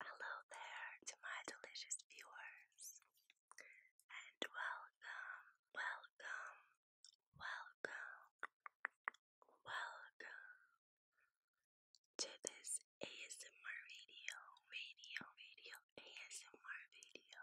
Hello there to my delicious viewers, and welcome, welcome, welcome, welcome to this ASMR video, video, video, ASMR video.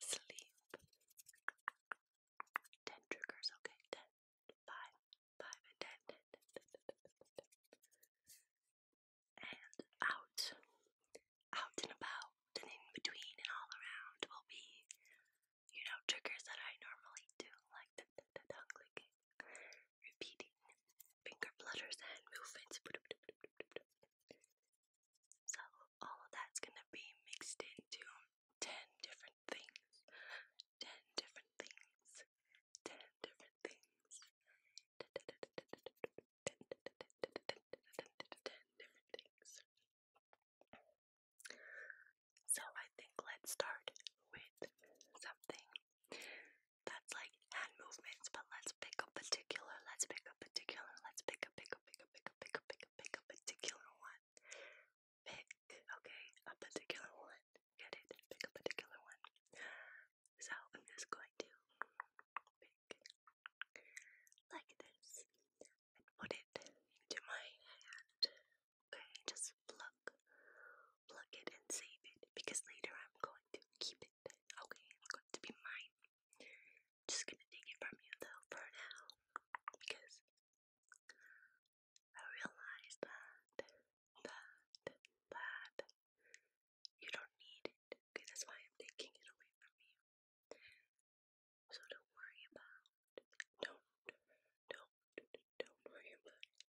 sleep. Ten triggers, okay? Ten, five, five, and ten, ten, ten, ten, ten, ten, ten, ten. And out, out and about, and in between, and all around will be, you know, triggers that I normally do, like the tongue clicking, repeating, finger flutters, and movements. So all of that's gonna be mixed into ten different things. Ten different things. Ten different things. Ten different things. So I think let's start with something that's like hand movements, but let's pick a particular, let's pick a particular, let's pick a pick a pick a pick a pick a pick a Pick, a particular one. Pick, okay, a particular one. Get it? Pick a particular one. So I'm just going to pick like this and put it into my hand. Okay, just pluck, pluck it and save it because later I'm going to keep it. Okay, it's going to be mine just gonna take it from you though for now because I realize that that that you don't need it because that's why I'm taking it away from you. So don't worry about don't don't don't worry about it.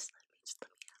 Just let me just let me have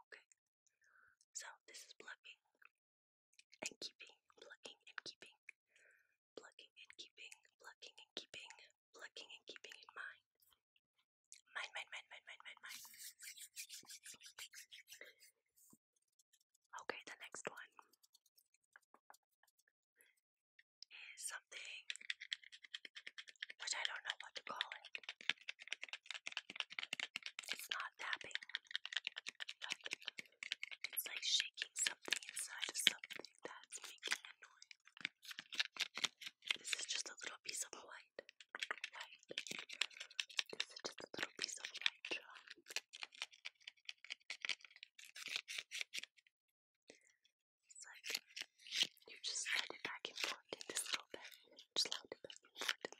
Okay, so this is plugging and keeping, plugging and keeping, plugging and keeping, plugging and keeping, plugging and keeping in mind. Mind, mind, mind, mind, mind, mind, Okay, the next one is something which I don't know what to call it. It's not tapping, it's like shaking something inside of something that's making a noise. This is just a little piece of white. White. This is just a little piece of white it's you just slide it back and forth in this little bit. Just slide it back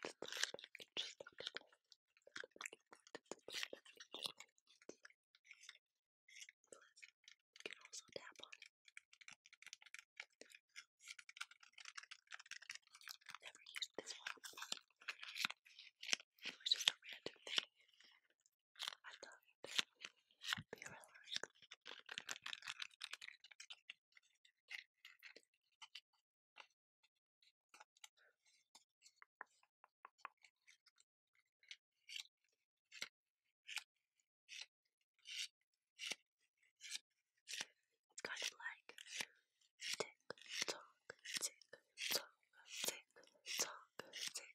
and forth in this little bit. Just slide it back and forth little bit. You can also tap on it. I've never used this one. It was just a random thing. I love it. Be relaxed. Kind of like tick tock, tick tock, tick tock, tick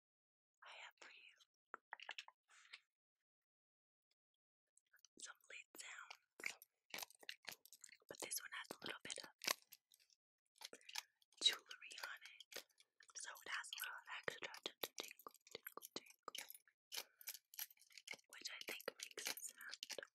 I have for you some lid sounds, but this one has a little bit of jewelry on it, so it has a little extra tingle, tingle, tingle, which I think makes it sound better.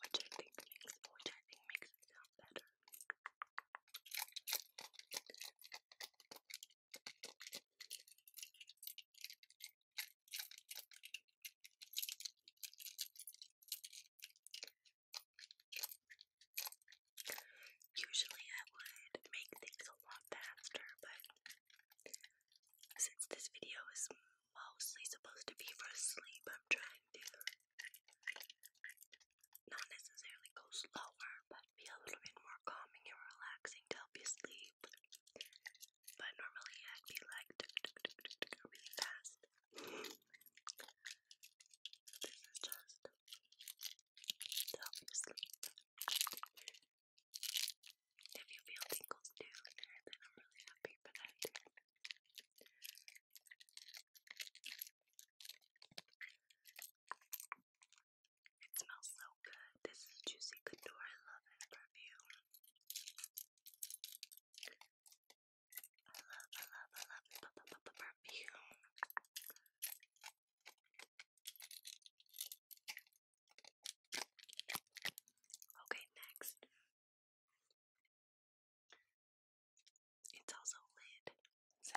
Usually I would make things a lot faster, but since this video is mostly supposed to be for sleep, I'm trying to not necessarily go slower, but be a little bit more calming and relaxing to help you sleep. But normally I'd be like really fast. This is just to help you sleep. If you feel tingles too, then I'm really happy, for that. It smells so good. This is Juicy Couture. I love it perfume. I love, I love, I love p -p perfume. Okay, next. It's also lid. So,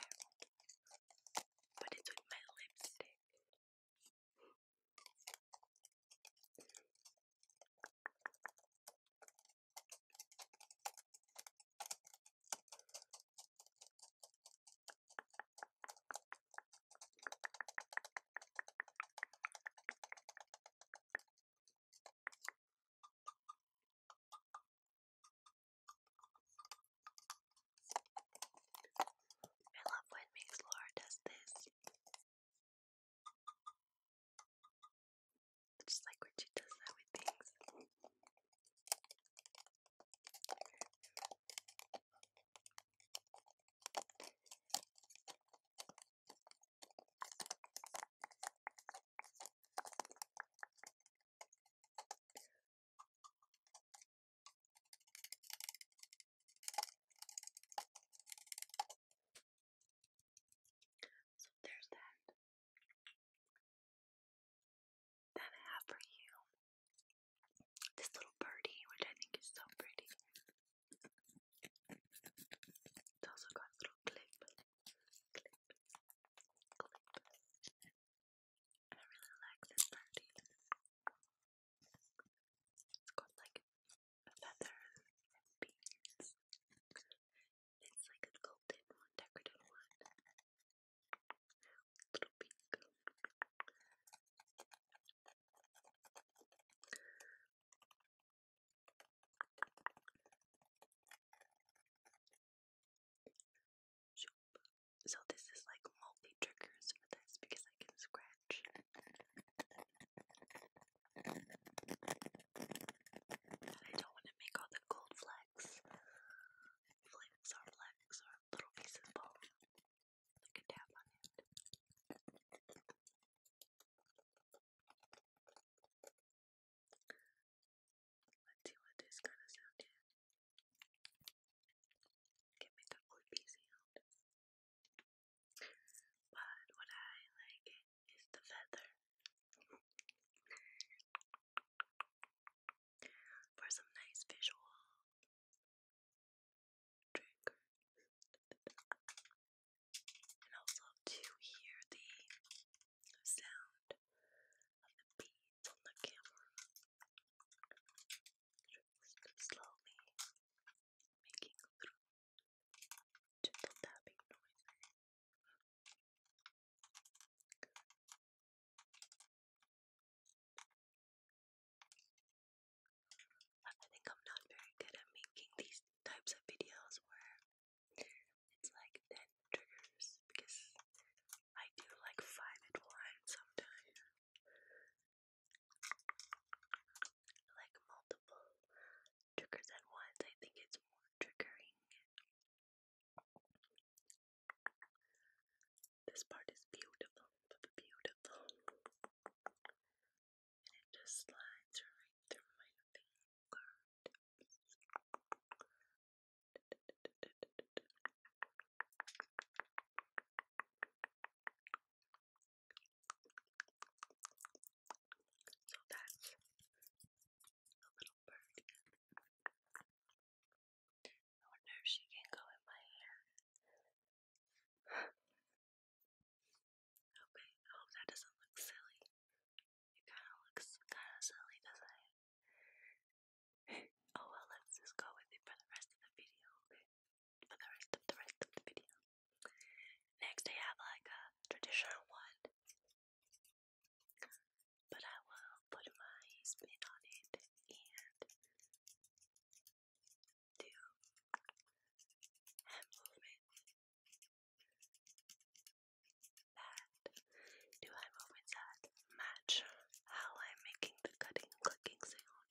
but it's with my lipstick. I love when Mix Laura does this. Just like when she does that with things. So there's that. That I have for you. This little birdie, which I think is so pretty. It's also got a little Clip. I really like this party. It's got like feathers and beans. It's like a golden one, decorative one. Little pink. So this is like multi triggers for this because I can scratch. I don't want to make all the gold flecks. Flecks or flecks or little pieces of bone. I can tap on it. Let's see what this kind of sound is. But what I like is the feather. For some nice visual And also to hear the sound of the beads on the camera slowly making little gentle tapping noises. I think I'm not very good at making these types of videos where it's like 10 triggers because I do like 5 at once sometimes like multiple triggers at once. I think it's more triggering. This part is beautiful, beautiful. it just slides right through my fingers. So that's a little bird. I wonder if she can go in my hair. okay, hope that doesn't look silly. It kind of looks kind of silly, doesn't it? Oh well, let's just go with it for the rest of the video. For the rest of the rest of the video. Next, I have like a traditional one, but I will put my spin on it and do hand movement. That do hand movements that match how I'm making the cutting and cooking sound.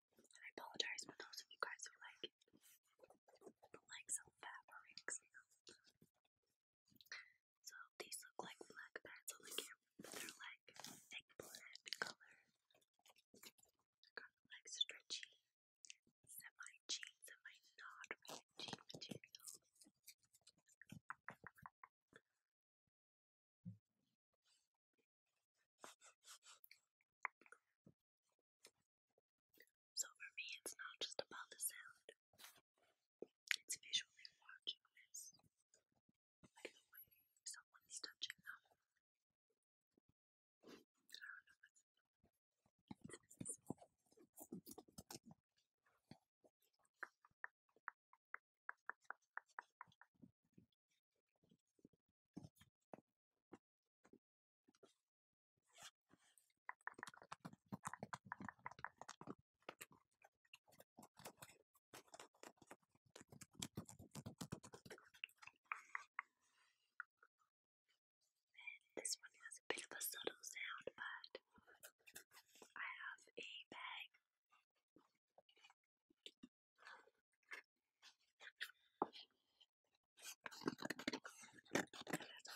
I apologize for those of you guys who like it. Like some fabrics. So these look like black pads on the camera, but they're like eggplant color. They're kind of like stretchy, semi jean, semi not really jean so for me, it's not just about the sound, it's visually watching this, like the way someone's touching them. This one has a bit of a subtle sound, but I have a bag there's a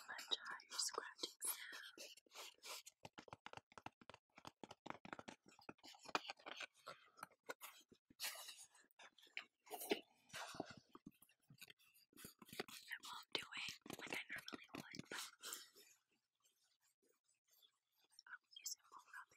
left eye you're scratching sound. I won't do it like I normally would, but I'll use it more rubbing.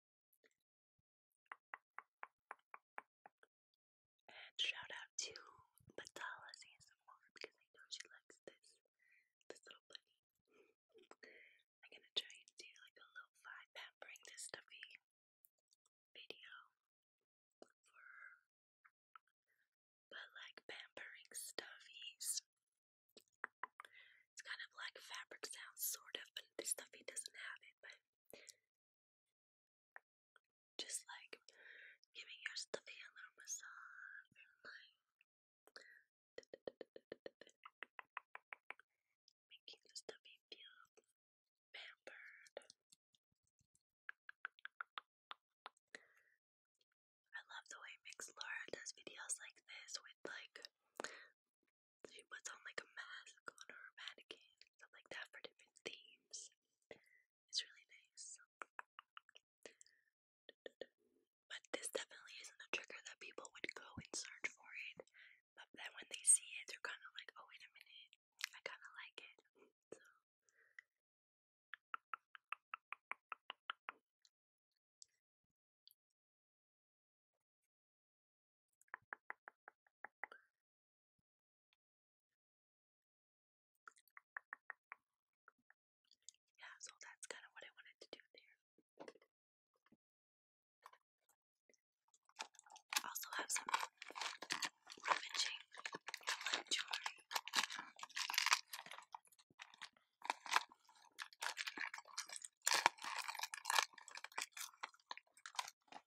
And shout out to Batala's because I know she likes this this little bunny. I'm gonna try and do like a low fi pampering this stuffy video But like pampering stuffies. It's kind of like fabric sounds sort of, but this stuffy doesn't have it, but just like giving your stuffy a little massage making the stuffy feel pampered. I love the way Mix Laura does videos like this with like she puts on like a mask on her mannequin, stuff like that for different themes. It's really nice. But this definitely isn't a trigger that people would go and search for it. But then when they see it, they're kind of like, oh, wait a minute, I kind of like it. Yeah, so that's kind of what I wanted to do there. Also have some ravaging jewelry.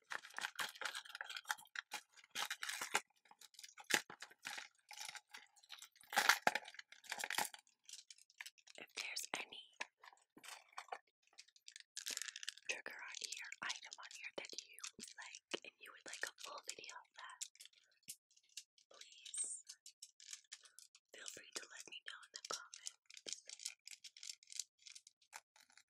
If there's any trigger on here, item on here that you like and you would like a full video of that, please feel free to let me know in the comments.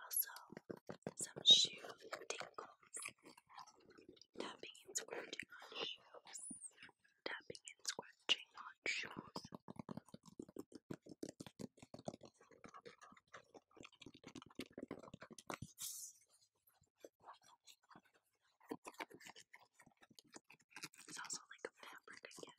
Also, some shoe tingles. Tapping and scratching on shoes. Tapping and scratching on shoes. It's also like a fabric, I guess.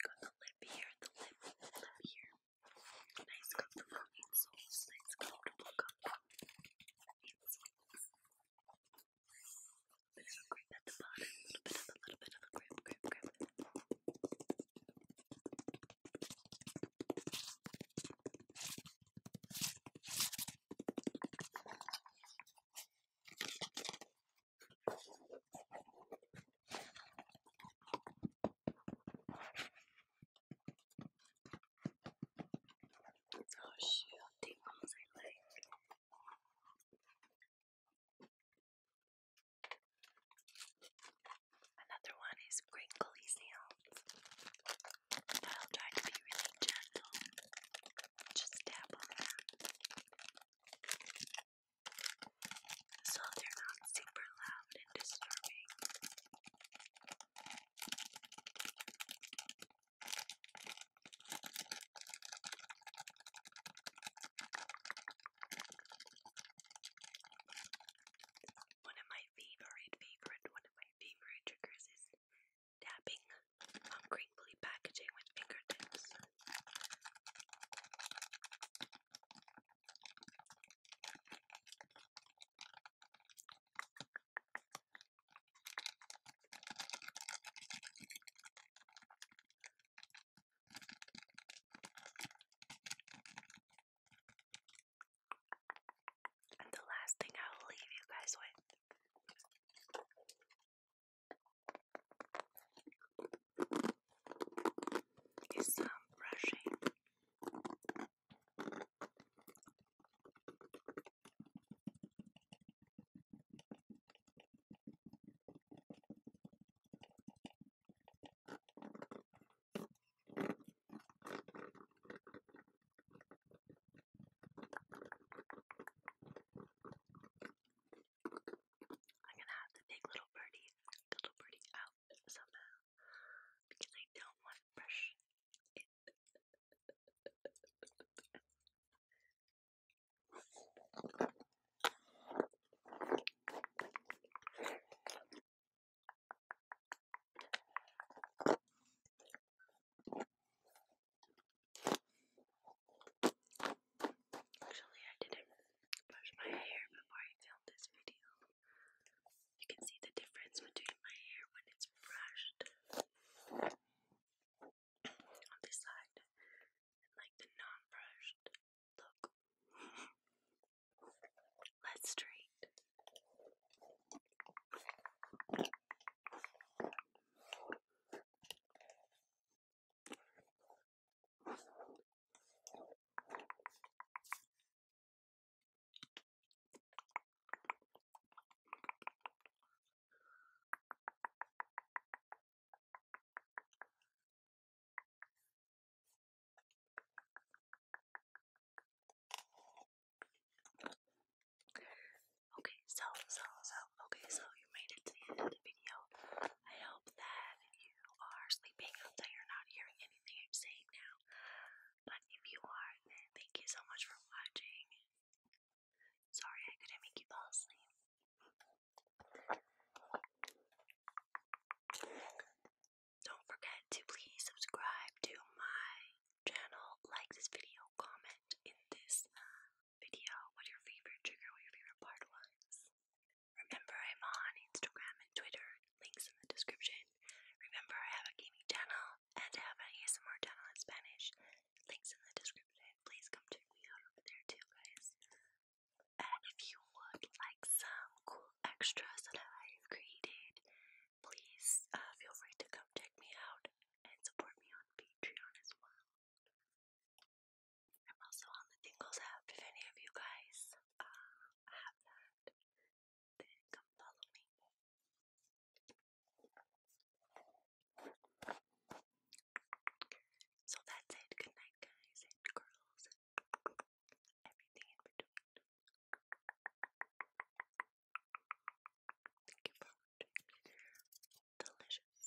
Got the lip here, the lip, the lip here. Nice comfortable insoles, nice comfortable comfortable insoles. A bit of a grip at the bottom, a little bit of a little bit of a grip, grip, grip. Oh shoot, the ones I Another one is crinkly I'll try to be really gentle. Just tap on that so they're not super loud and disturbing. One of my favorite, favorite, one of my favorite triggers is tapping on crinkly packaging with fingertips. And the last thing I will leave you guys with is some brushing. I'm gonna have to take little birdie, little birdie out somehow because I don't want to Actually, I didn't brush my hair before I filmed this video. You can see the difference between my hair when it's brushed on this side and like the non brushed look. Let's straight. Okay, so, so, so, okay, so you made it to the end of the video. I hope that you are sleeping and that you're not hearing anything I'm saying now. But if you are, thank you so much for watching. Sorry I couldn't make you fall asleep. Don't forget to please subscribe to my channel, like this video, comment in this uh, video what your favorite trigger, what your favorite part was. Remember, I'm on Instagram and Twitter, links in the description. Remember, I have a gaming channel and I have an ASMR channel in Spanish, links in the description. Please come check me out over there too, guys. And if you would like some cool extras that I've created, please uh, feel free to come check me out and support me on Patreon as well. I'm also on the Tingles app if any of you guys uh, have that. Then come follow me. So that's it. Good night, guys and girls, everything in between. Delicious.